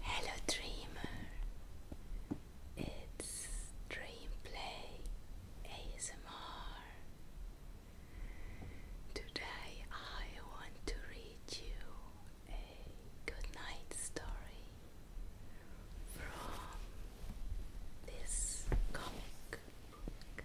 Hello, dreamer. It's Dreamplay ASMR. Today I want to read you a good night story from this comic book.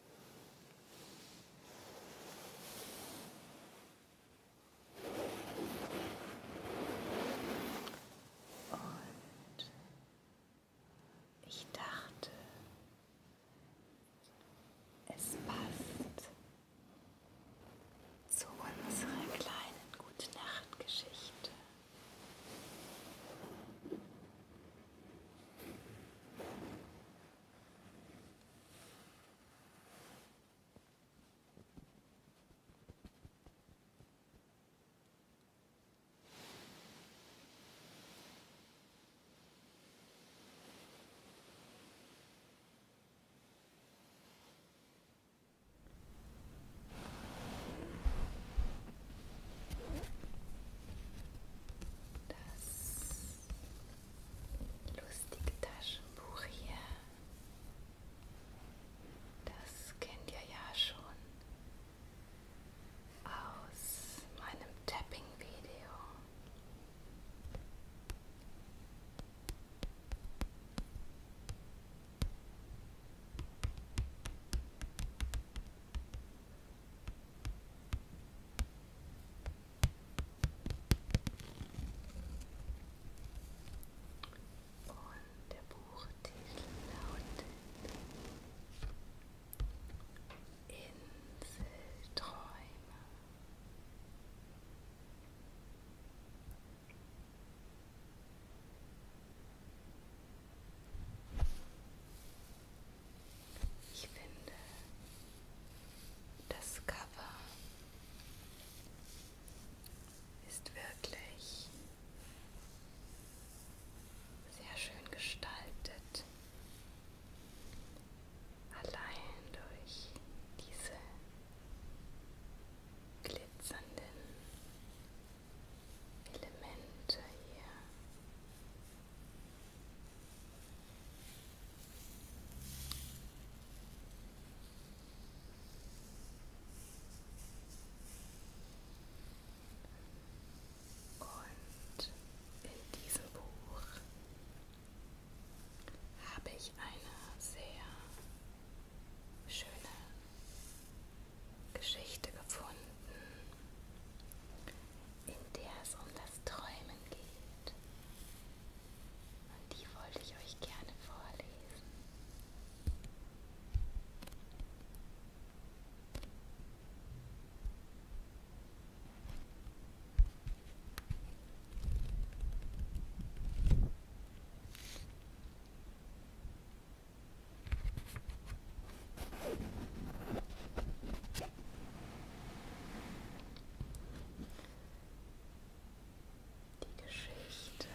Und ich dachte, es passt zu unserer kleinen Gute Nacht Geschichte. Das lustige Taschenbuch hier. Das kennt ihr ja schon aus meinem Tapping-Video. Und der Buchtitel lautet Inselträume. Ich finde das Cover ist wirklich sehr schön gestaltet. Allein durch diese glitzernden Elemente hier und in diesem Buch habe ich eine sehr schöne Geschichte gefunden, in der es um das Träumen geht. Und die wollte ich euch gerne vorlesen. Die Geschichte.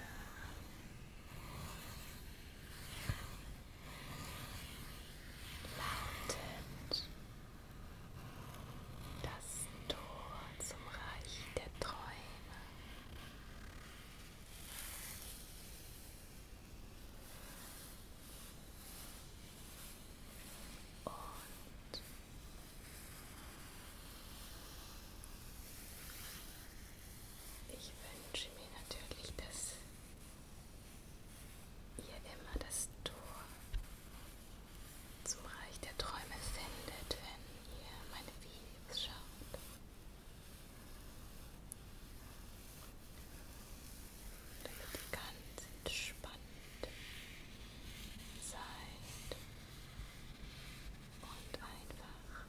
Lautet das Tor zum Reich der Träume. Und ich wünsche mir natürlich, dass ihr immer das Tor zum Reich der Träume findet, wenn ihr meine Videos schaut damit ganz entspannt seid und einfach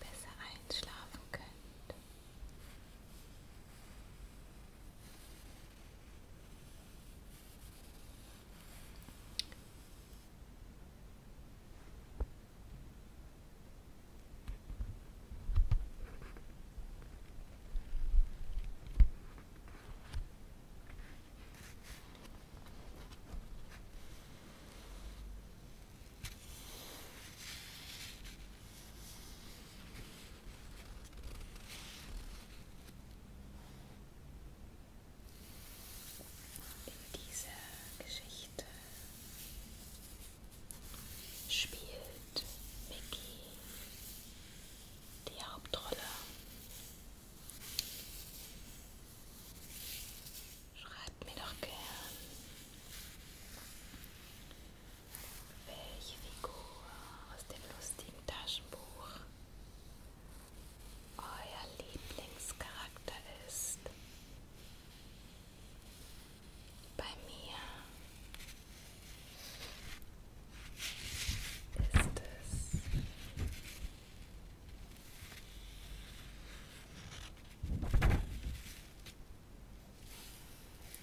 besser einschlafen könnt. In dieser Geschichte spielt Mickey die Hauptrolle. Schreibt mir doch gern, welche Figur aus dem lustigen Taschenbuch euer Lieblingscharakter ist. Bei mir ist es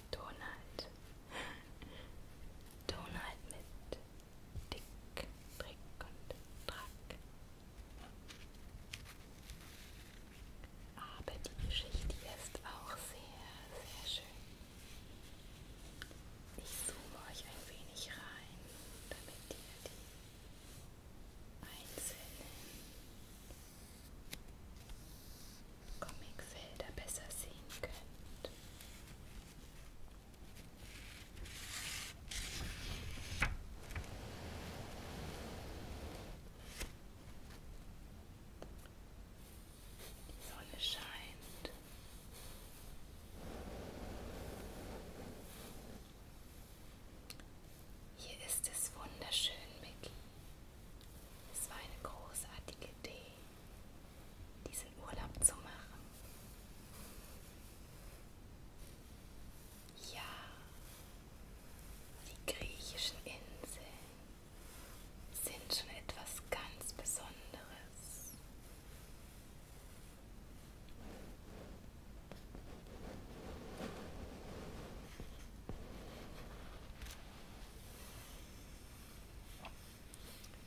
Donald. Donald mit Dick, Trick und Track. Aber die Geschichte ist auch sehr, sehr schön. Ich zoome euch ein wenig rein, damit ihr die einzelnen Comicfelder besser sehen könnt. Sonne scheint. Hier ist es wunderschön, Mickey. Es war eine großartige Idee, diesen Urlaub zu machen. Ja, die griechischen Inseln sind schon etwas ganz Besonderes.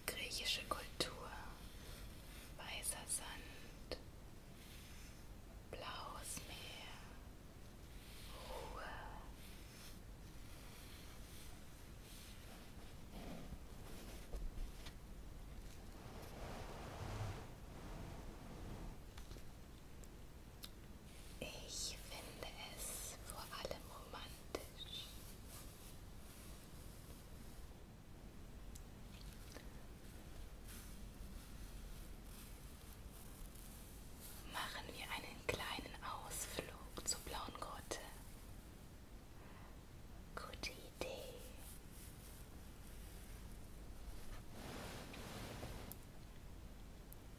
Griechische Kultur, weißer Sand, blaues Meer, Ruhe, ich finde es vor allem romantisch machen wir einen kleinen Ausflug zur Blauen Grotte. Gute Idee.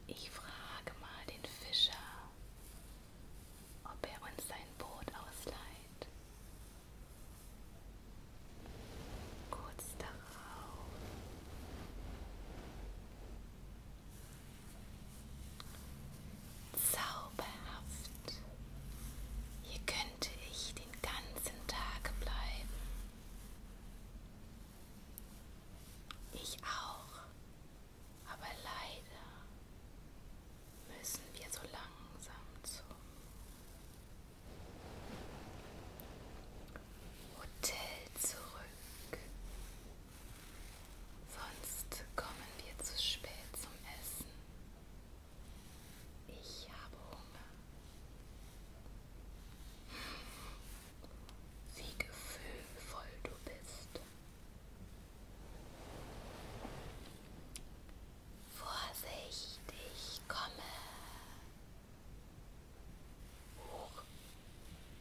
Ich frage mal den Fischer, ob er uns sein Boot ausleiht. Kurz darauf Zauberhaft. Hier könnte ich den ganzen Tag bleiben. Ich auch. Aber leider müssen wir so langsam zum Hotel zurück. Sonst kommen wir zu spät zum Essen. Ich habe Hunger. Wie gefühlvoll du bist. Vorsicht, ich komme. Hoch,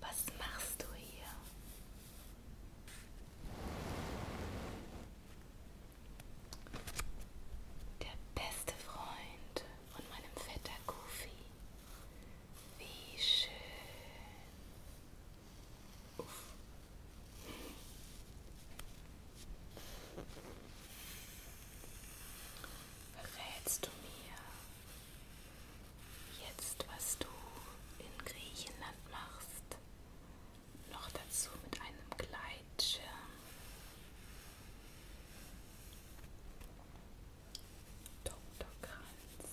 Was machst du hier? Der beste Freund von meinem Vetter Goofy. Wie schön. Uff. Verrätst du mir, Jetzt, was du in Griechenland machst, noch dazu mit einem Gleitschirm. Dr. Kranz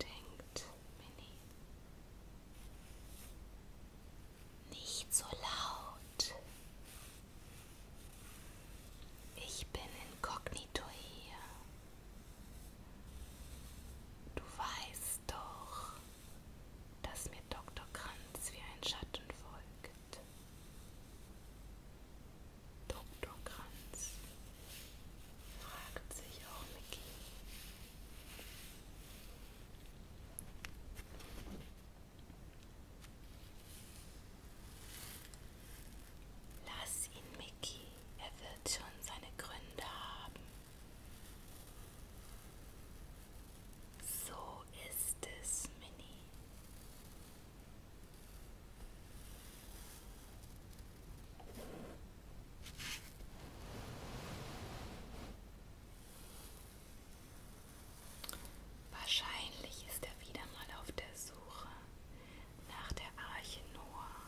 denkt Minnie. Nicht so laut, ich bin inkognito hier. Du weißt doch, dass mir Dr. Kranz wie ein Schatten folgt. Dr. Kranz, fragt sich auch Mickey. Lass ihn, Mickey, er wird schon seine Gründe haben. So ist es, Minnie. Wahrscheinlich ist er wieder mal auf der Suche nach der Arche Noah.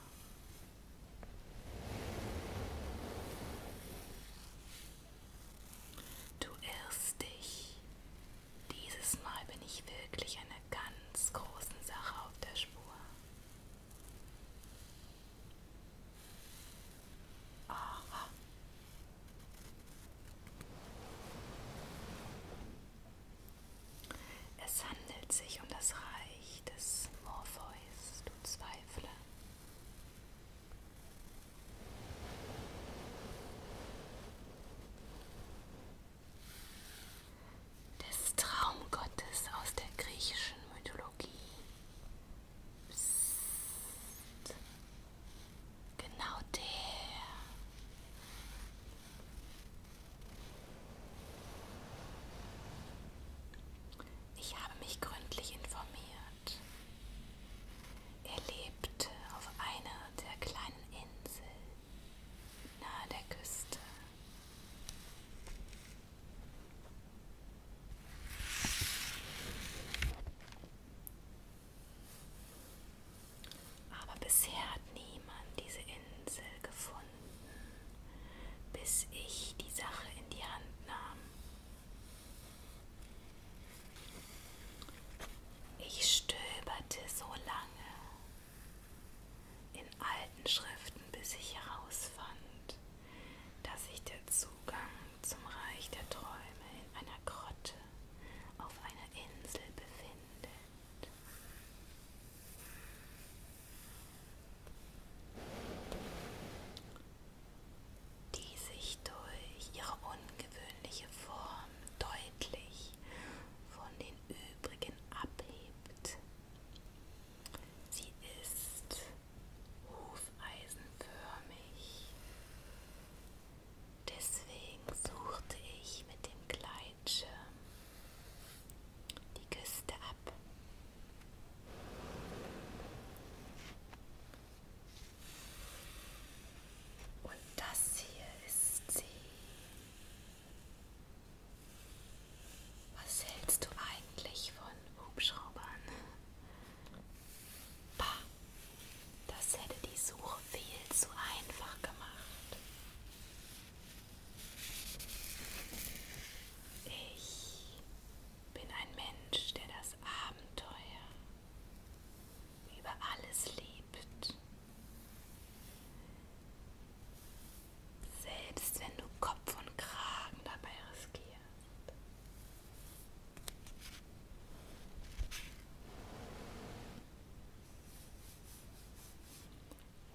Du irrst dich. Dieses Mal bin ich wirklich einer ganz großen Sache auf der Spur. Oh, es handelt sich um das Reich des Morpheus, du Zweifler. Des Traumgottes aus der griechischen Mythologie. Psst. Genau der. Ich habe mich gründlich informiert. Er lebte auf einer der kleinen Inseln nahe der Küste. Aber bisher hat niemand diese Insel gefunden, bis ich die Sache in die Hand nahm. Ich stöberte so lange in alten Schriften, bis ich herausfand, dass sich der Zugang zum Reich der Träume in einer Grotte auf einer Insel befindet. Die sich durch ihre ungewöhnliche Form deutlich von den übrigen abhebt. Sie ist hufeisenförmig Deswegen suchte ich mit dem Gleitschirm die Küste ab. Und das hier ist sie. Was hältst du eigentlich von Hubschraubern? Bah, das hätte die Suche viel zu einfach gemacht. Ich bin ein Mensch, der das Abenteuer über alles liebt. Selbst wenn du Kopf und Kragen dabei riskierst.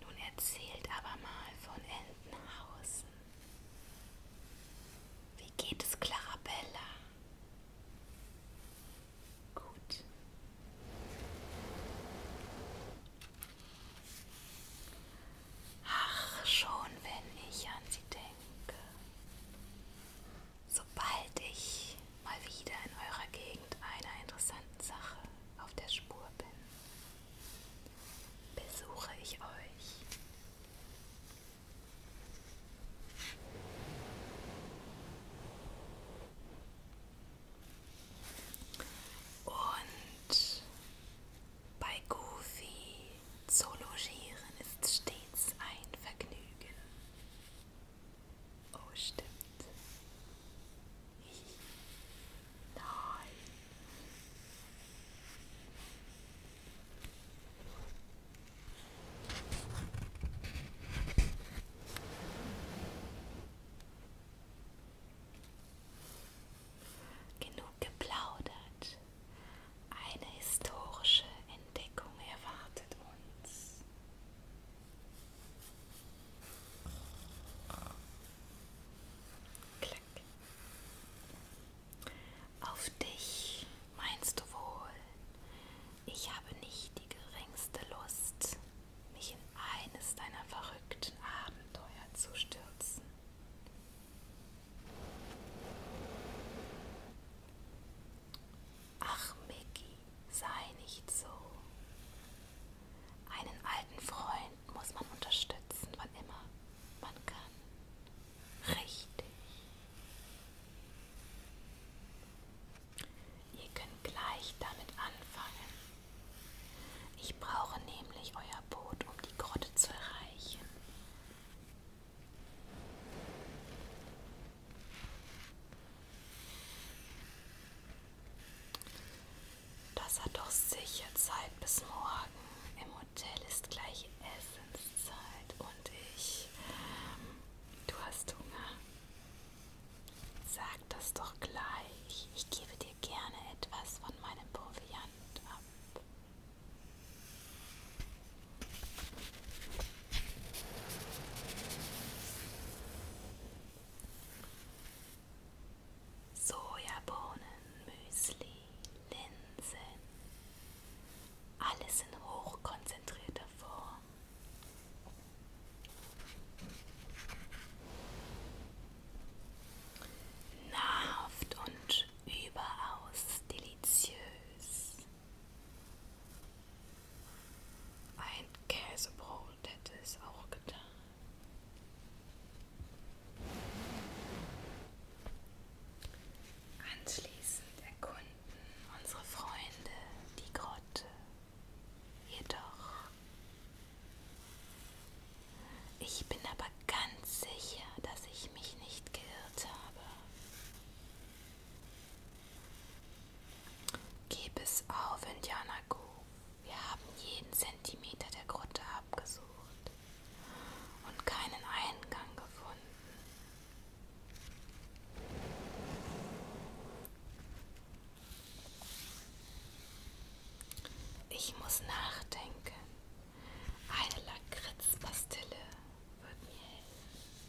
Nun erzählt aber mal von Entenhausen. Wie geht es Clarabella? Gut. Ach, schon wenn ich an sie denke sobald ich mal wieder in eurer Gegend einer interessanten Sache auf der Spur bin, besuche ich euch. Und bei Goofy zu logieren ist stets ein Vergnügen. Oh, stimmt. Nein. Genug geplaudert. Eine historische Entdeckung erwartet uns. Klick. Auf dich meinst du wohl, ich habe nicht die geringste Lust, mich in eines deiner verrückten Abenteuer zu stürzen. Ach, Micky, sei nicht so. Einen alten Freund muss man unterstützen, wann immer man kann. Richtig. Ihr könnt gleich damit anfangen. Ich brauche nämlich euer Boot, um die Grotte zu erreichen. Das hat doch sicher Zeit bis morgen. Im Hotel ist gleich Essenszeit und ich. Du hast Hunger. Sag das doch gleich. Ich gebe dir gerne etwas von meinem Proviant ab. Sojabohnen, Müsli, Linsen. Alles in hochkonzentrierter Form. Nahrhaft und überaus deliziös. Ein Käsebrot hätte es auch getan. Anschließend erkunden unsere Freunde die Grotte. Jedoch, ich bin aber ganz sicher, dass ich mich nicht geirrt habe. Gib es auf, Indiana Goo. Wir haben jeden Zentimeter der Grotte abgesucht und keinen Eingang gefunden. Ich muss nachdenken. Eine Lakritzpastille wird mir helfen.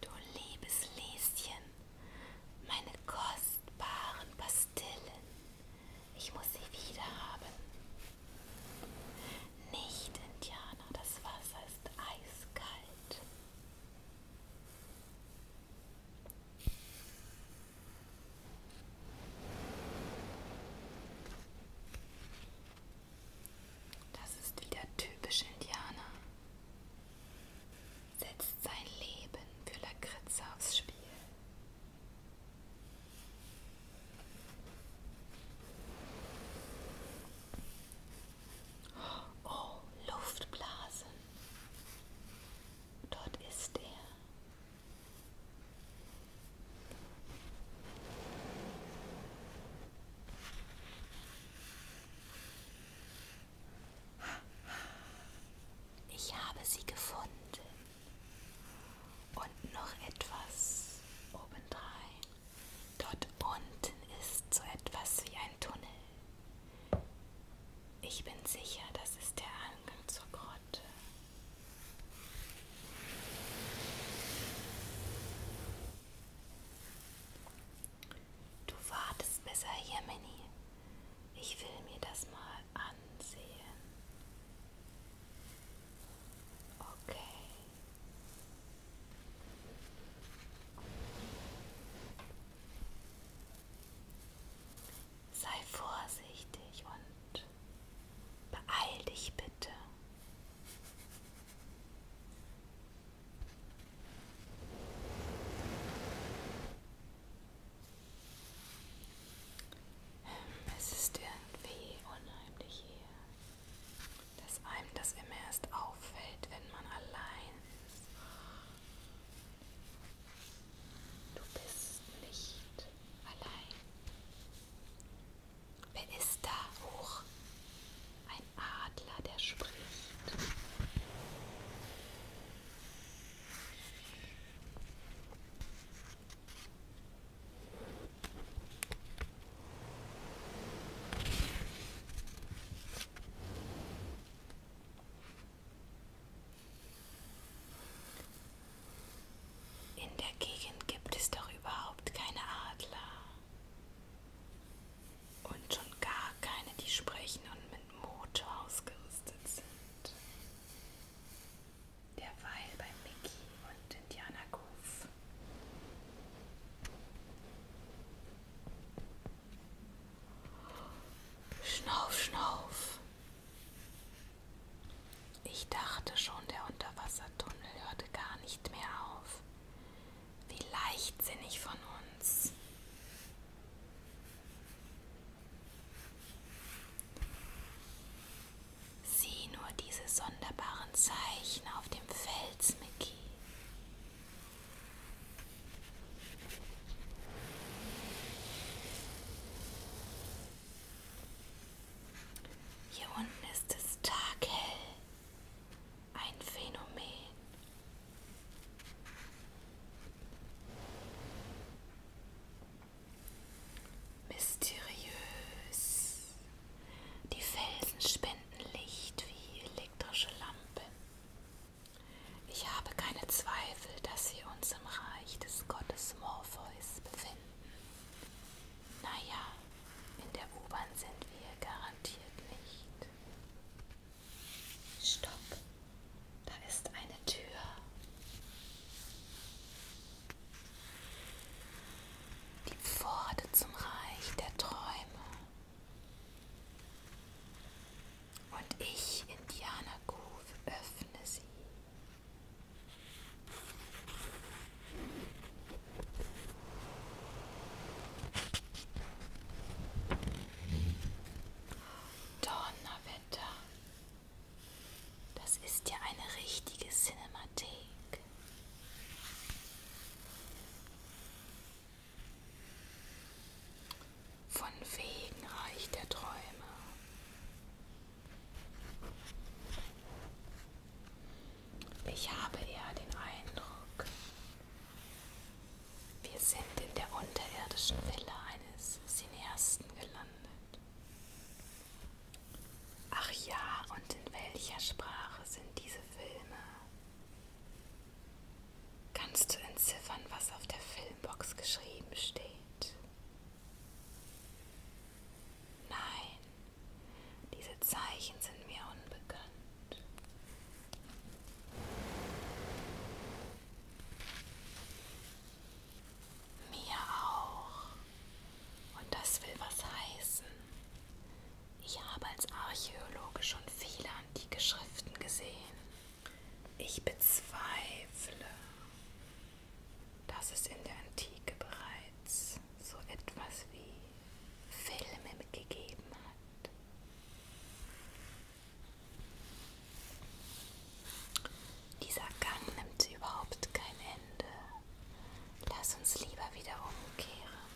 Du liebes Lieschen, meine kostbaren Pastillen, ich muss sie wieder haben. Nicht, Indianer, das Wasser ist eiskalt. Das ist wieder typisch Indianer setzt sein Leben für Lakritze aufs Spiel. Oh, Luftblasen. Dort ist er. Ich habe sie gefunden. Und noch etwas obendrein. Dort unten ist so etwas wie ein Tunnel. Ich bin sicher, das ist der Eingang zur Grotte. Du wartest besser hier, Minnie. Ich will mir das mal ansehen. Okay. Sei vorsichtig und beeil dich bitte. Es ist irgendwie unheimlich hier, dass einem das immer erst auffällt, wenn man allein ist. Du bist nicht allein. Wer ist da hoch? Ein Adler, der spricht. In der Gegend gibt es doch überhaupt keine Adler und schon gar keine, die sprechen und mit Motor ausgerüstet sind. Derweil bei Mickey und Indiana Goof. Schnauf, schnauf. Ich dachte schon, der Unterwassertunnel hörte gar nicht mehr auf. Wie leichtsinnig von uns. Sieh nur diese sonderbaren Zeichen auf dem Fels, Mickey. Hier unten ist es taghell ein Phänomen. Mysteriös. Die Felsen spenden Licht wie elektrische Lampen. Ich habe keine Zweifel, dass wir uns im Reich des Gottes Morpheus befinden. Naja, in der U-Bahn sind wir garantiert nicht. Stopp, da ist eine Tür. Die Pforte zum Reich der Träume. Und ich, Indianer Groove, öffne sie. Donnerwetter. Das ist ja eine richtige Cinemathek. Von wegen Reich der Träume. Ich habe eher den Eindruck, wir sind in der unterirdischen Villa eines Cineasten gelandet. Ach ja, und in welcher Sprache sind diese Filme? Kannst du entziffern, was auf der Filmbox geschrieben steht? Nein, diese Zeichen sind mir unbekannt. Mir auch. Und das will was heißen. Ich habe als Archäologe schon viele antike Schriften gesehen. Ich bezweifle, dass es in der Antike bereits so etwas wie Filme gegeben hat. Dieser Gang nimmt überhaupt kein Ende. Lass uns lieber wieder umkehren.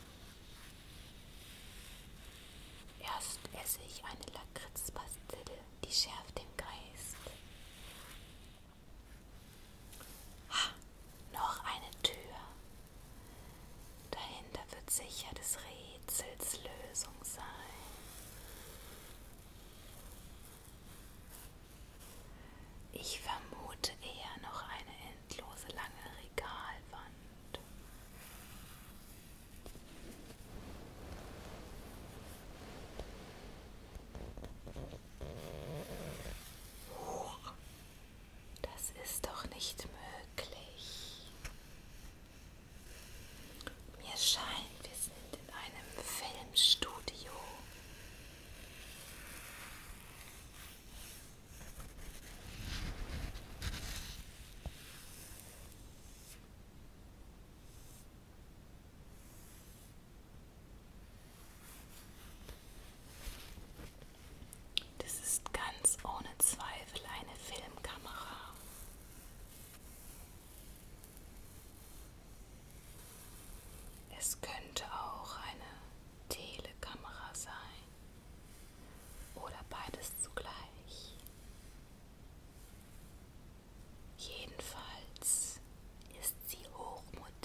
Erst esse ich eine Lakritzpastille, die schärft den Geist. Ha, noch eine Tür. Dahinter wird sicher des Rätsels Lösung sein. Ich vermute eher noch eine endlose lange Regalwand. Huch, das ist doch nicht möglich. Mir scheint, wir sind in einem Filmstudio. Das ist ganz ohne Zweifel eine Filmkamera. Es könnte auch eine Telekamera sein oder beides zugleich. Jedenfalls ist sie hochmodern.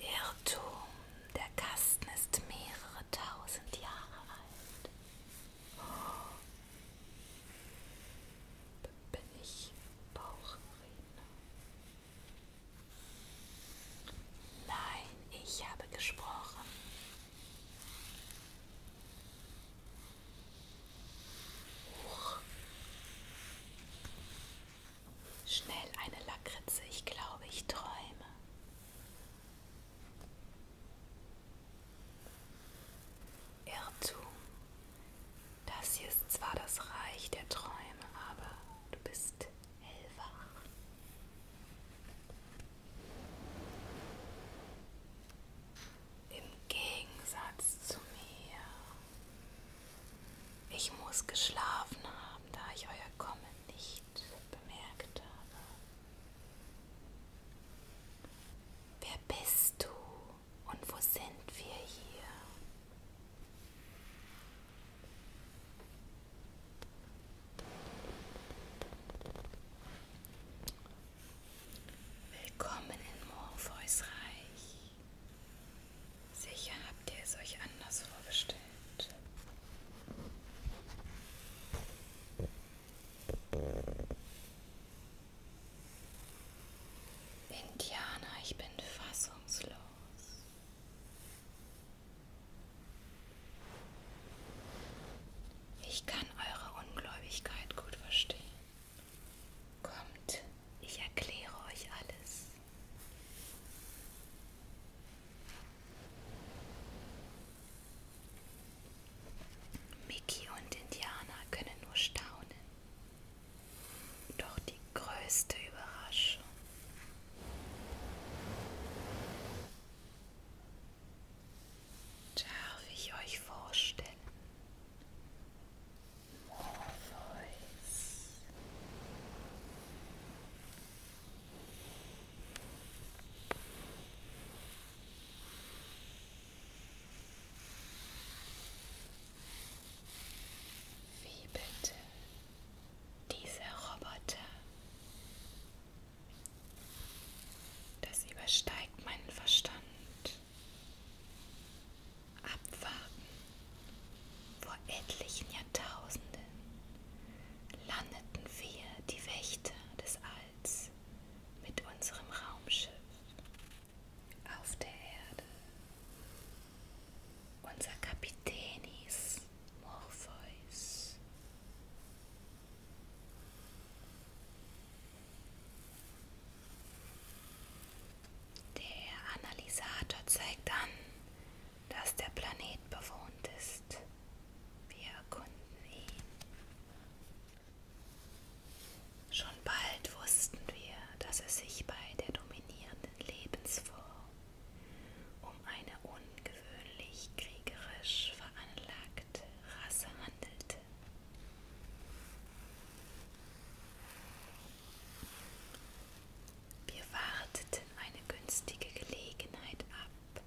Irrtum, der Kasten ist mehrere tausend Jahre alt. Oh. Bin ich Bauchredner? Nein, ich habe gesprochen. Schnell eine Lakritze, ich glaube, ich träume. Irrtum. Das hier ist zwar das Reich der Träume, aber du bist hellwach im Gegensatz zu mir. Ich muss geschlafen haben, da ich euer Kommen nicht bemerkt habe. Wer bist du und wo sind wir hier? Willkommen in Morpheus Reich. Sicher habt ihr es euch anders vorgestellt. Indiana, ich bin fassungslos. Ich kann eure Ungläubigkeit gut verstehen. Kommt, ich erkläre euch alles. Mickey und Indiana können nur staunen. Doch die größte Überraschung darf ich euch vorstellen. Morpheus. Wie bitte? Dieser Roboter das übersteigt meinen Verstand. Abwarten. Vor etlichen Jahrtausenden landeten wir, die Wächter des Alls, mit unserem Raumschiff auf der Erde. Unser Kapitän hieß Morpheus. Der Analysator zeigt an, dass der Planet bewohnt ist. Wir erkunden ihn. Schon bald wussten wir, dass es sich bei der dominierenden Lebensform um eine ungewöhnlich kriegerisch veranlagte abstrakte Rasse handelte. Wir warteten eine günstige Gelegenheit ab,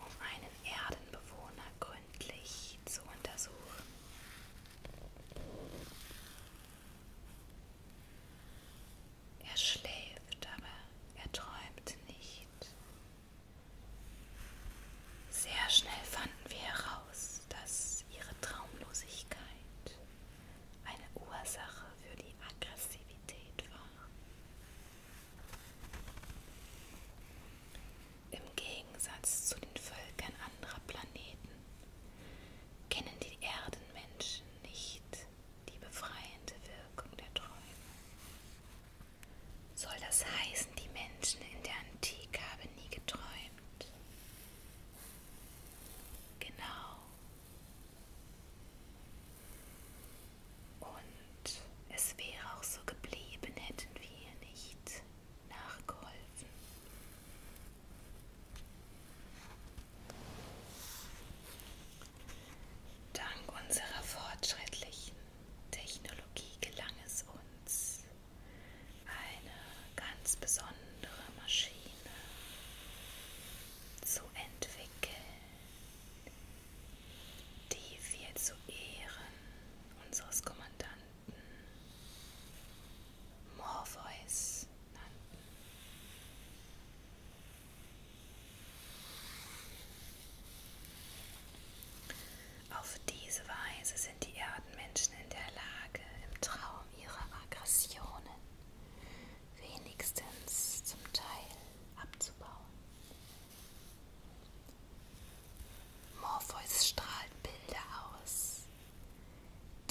um einen Erdenbewohner gründlich zu untersuchen. Er schläft, aber er träumt nicht. Sehr schnell fanden wir heraus, dass ihre Traumlosigkeit eine Ursache für die Aggressivität war. Im Gegensatz zu den Völkern anderer Planeten kennen die Erdenmenschen nicht die befreiende Wirkung der Träume. Soll das heißen, die Menschen in der Antike haben nie geträumt? Genau. Und es wäre auch so geblieben, hätten wir ihr nicht nachgeholfen. Dank unserer fortschrittlichen Technologie gelang es uns, eine ganz besondere Maschine zu entwickeln, die wir zu Ehren unseres Kommandanten Morpheus nannten. Auf diese Weise sind die Erdenmenschen in der Lage, im Traum ihre Aggressionen wenigstens zum Teil abzubauen. Morpheus strahlt Bilder aus,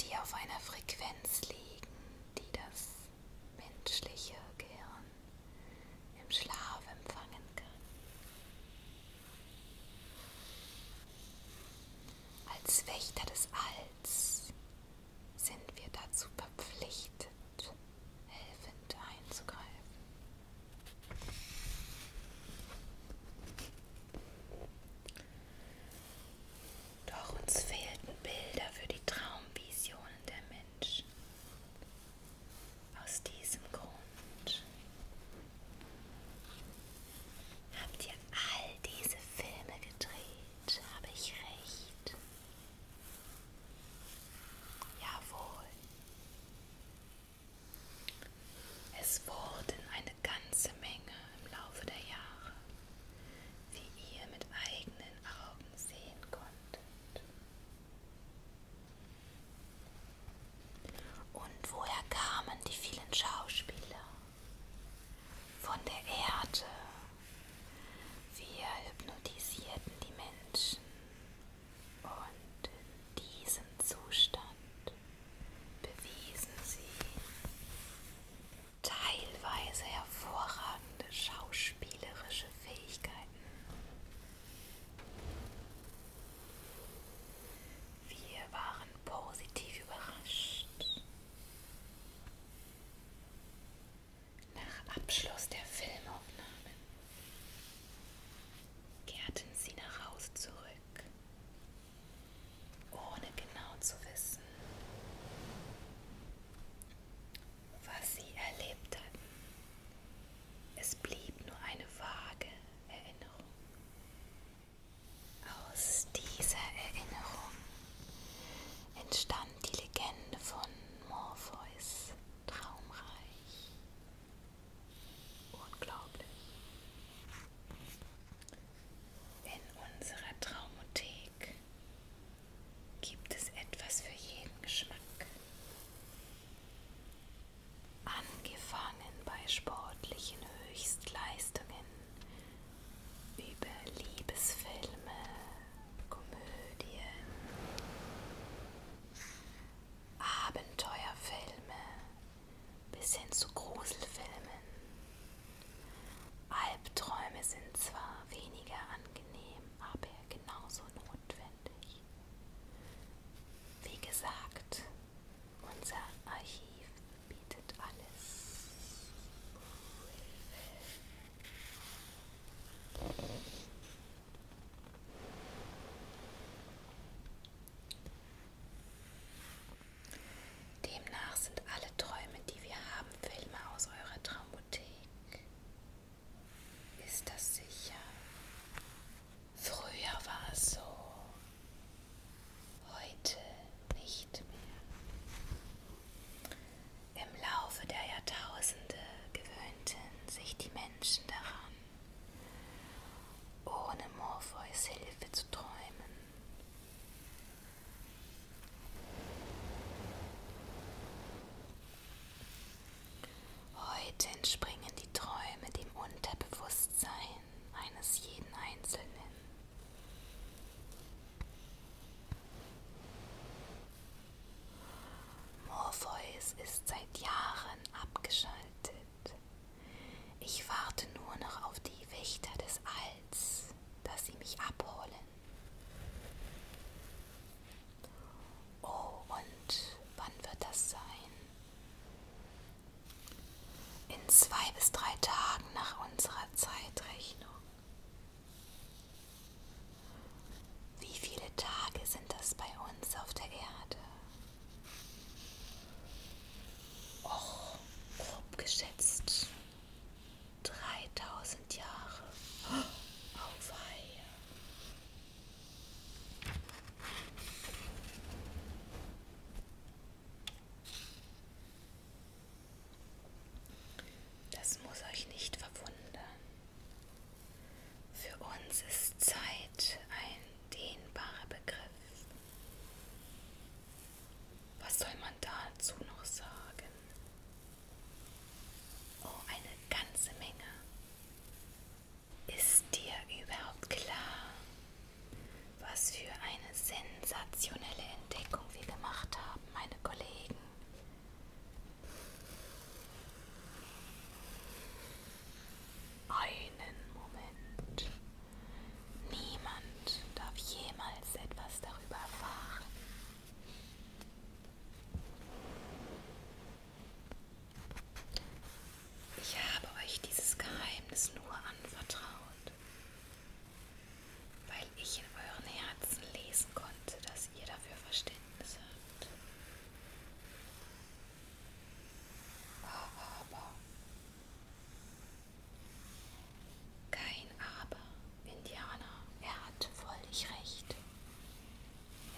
die auf einer Frequenz liegen, die das menschliche Gehirn im Schlaf empfangen kann. Als Wächter des Alls sind wir dazu verpflichtet, helfend einzugreifen. Doch uns fehlten Bilder für die Traumvisionen der Menschen. Aus diesem Grund habt ihr all diese Filme gedreht, habe ich recht. Jawohl. Es wurden eine ganze Menge im Laufe der Jahre, die ihr mit eigenen Augen sehen konntet. Und woher kamen die vielen Schauspieler? Von der Erde. Wir hypnotisierten die Menschen. Und in diesem Zustand bewiesen sie teilweise hervorragende schauspielerische Fähigkeiten. Wir waren positiv überrascht. Nach Abschluss der Filmaufnahmen kehrten sie nach Hause zurück, ohne genau zu wissen, was sie erlebt hatten. Es blieb nur eine vage Erinnerung. Aus dieser Erinnerung entstand die Legende von Morpheus Traumreich. Unglaublich. In unserer Traumothek gibt es etwas für jeden Geschmack. Angefangen bei sportlichen Höchstleistungen über Liebesfilme, Komödien, Abenteuerfilme bis hin zu Gruselfilmen. Albträume sind zwar weniger angenehm, aber genauso notwendig notwendig. Wie gesagt, unser Archiv bietet alles. Demnach sind alle Träume, die wir haben, Filme aus eurer Traumothek. Ist das sicher? Früher war es so, heute nicht mehr. Im Laufe der Jahrtausende gewöhnten sich die Menschen daran, ohne Morpheus Hilfe zu träumen. Heute entspringen die Träume dem Unterbewusstsein eines jeden Einzelnen. Morpheus ist seit Jahren abgeschaltet. Ich warte nur noch auf die Wächter des Alls, dass sie mich abholen. Oh, und wann wird das sein? In zwei bis drei Tagen nach unserer Zeitrechnung. Wie viele Tage sind das bei uns auf der Erde? Och, grob geschätzt. 3000 Jahre. Auweia. Oh, das muss euch nicht verwundern. Für uns ist Zeit ein dehnbarer Begriff. Was soll man dazu noch sagen? Oh, eine ganze Menge. Ist dir überhaupt klar, was für eine sensationelle Entdeckung wir gemacht haben, meine Kollegen? Einen Moment. Niemand darf jemals etwas darüber erfahren. Ich habe euch dieses Geheimnis nur anvertraut, weil ich in euren Herzen lesen konnte, dass ihr dafür Verständnis habt. Aber kein Aber, Indianer, er hat völlig recht.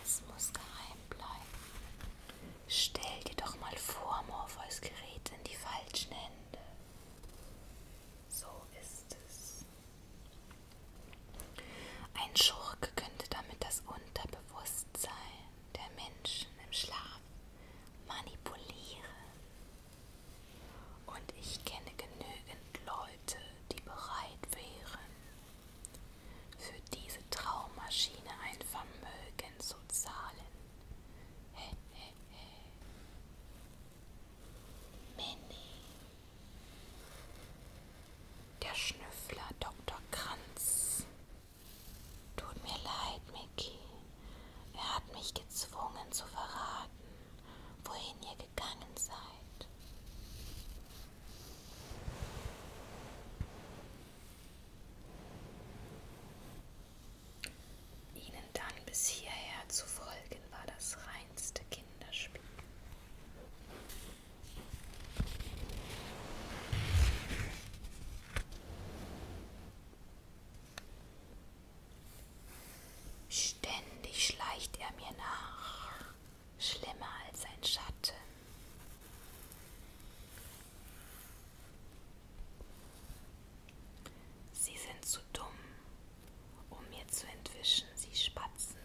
Es muss geheim bleiben. Stell dir doch mal vor, Morpheus gerät in die falschen Hände. So ist es. Ein Schurke könnte damit das Unterbewusstsein der Menschen im Schlaf manipulieren. Und ich kenne genügend Leute, die bereit wären, für diese Traummaschine ein Vermögen zu zahlen. He, he, he. Minnie. Der Schnüffler Dr. Kranz. Tut mir leid, Mickey. Er hat mich gezwungen zu verraten, wohin ihr gegangen seid. Ihnen dann bis hierher zu folgen, war das reinste Kinderspiel. Ständig schleicht er mir nach schlimmer als ein Schatten. Sie sind zu dumm, um mir zu entwischen, sie Spatzenhirn.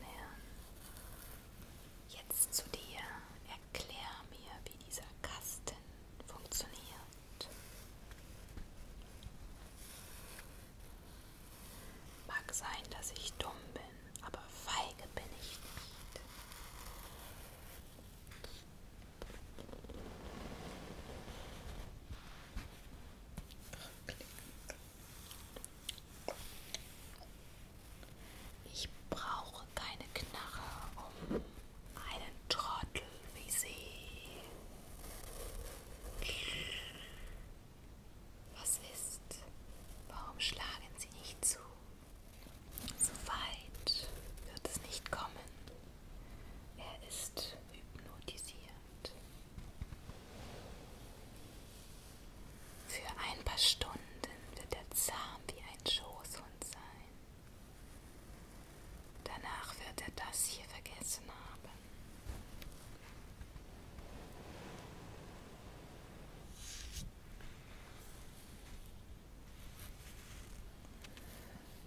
Jetzt zu dir, erklär mir, wie dieser Kasten funktioniert. Mag sein, dass ich dumm bin, aber feige bin ich nicht. Ich brauche keine Knarre, um einen Trottel wie sie was ist? Warum schlagen sie nicht zu? So weit wird es nicht kommen. Er ist hypnotisiert. Für ein paar Stunden wird er zahm wie ein Schoßhund sein. Danach wird er das hier vergessen haben.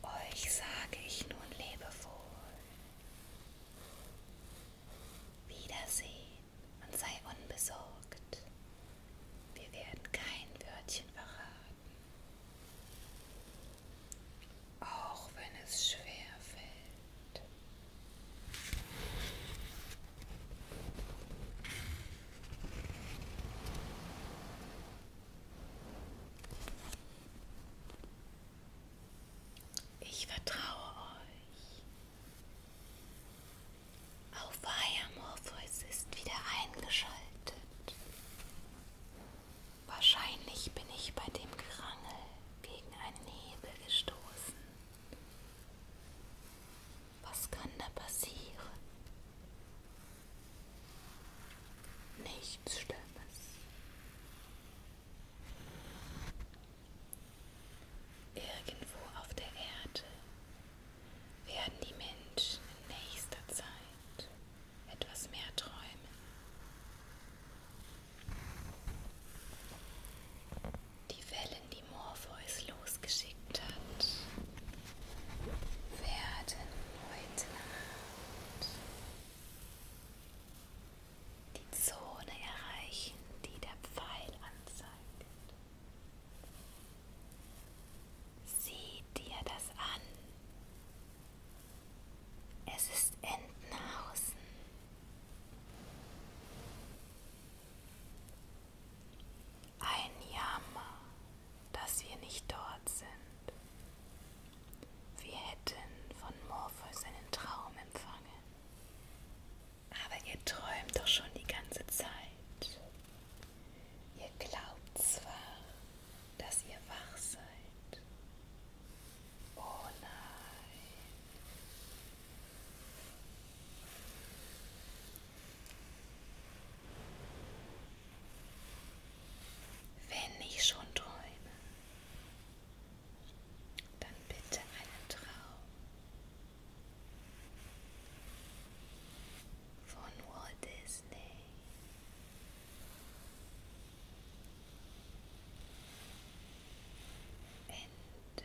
Euch sage ich nun lebewohl. Wiedersehen und sei unbesorgt. Wir werden kein Wörtchen verraten. Auch wenn es schwer fällt. Ich vertraue euch. Auf Weiher Morpheus ist wieder eingeschaltet. Wahrscheinlich bin ich bei dem Gerangel gegen einen Hebel gestoßen. Was kann da passieren? Nichts Schlimmes. Irgendwo auf der Erde werden die Menschen in nächster Zeit etwas mehr träumen. Die Wellen, die Morpheus losgeschickt hat, werden heute Nacht die Zone erreichen, die der Pfeil anzeigt. Sieh dir das an. Es ist Entenhausen. Ein Jammer, dass wir nicht dort sind. Wir hätten von Morpheus einen Traum empfangen. Aber ihr träumt doch schon die ganze Zeit. Ihr glaubt zwar, dass ihr wach seid, Oh nein. Wenn ich schon träume, dann bitte einen Traum von Walt Disney. Ende.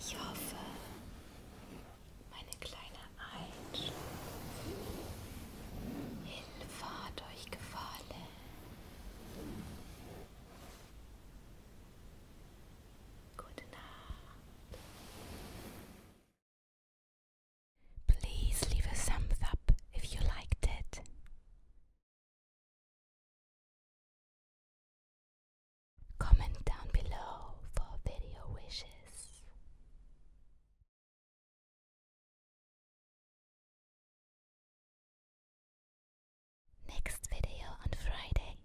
Ich hoffe, meine kleine Einschlaf-Hilfe hat euch gefallen. Gute Nacht. Please leave a thumbs up if you liked it. Comment down below for video wishes. Next video on Friday.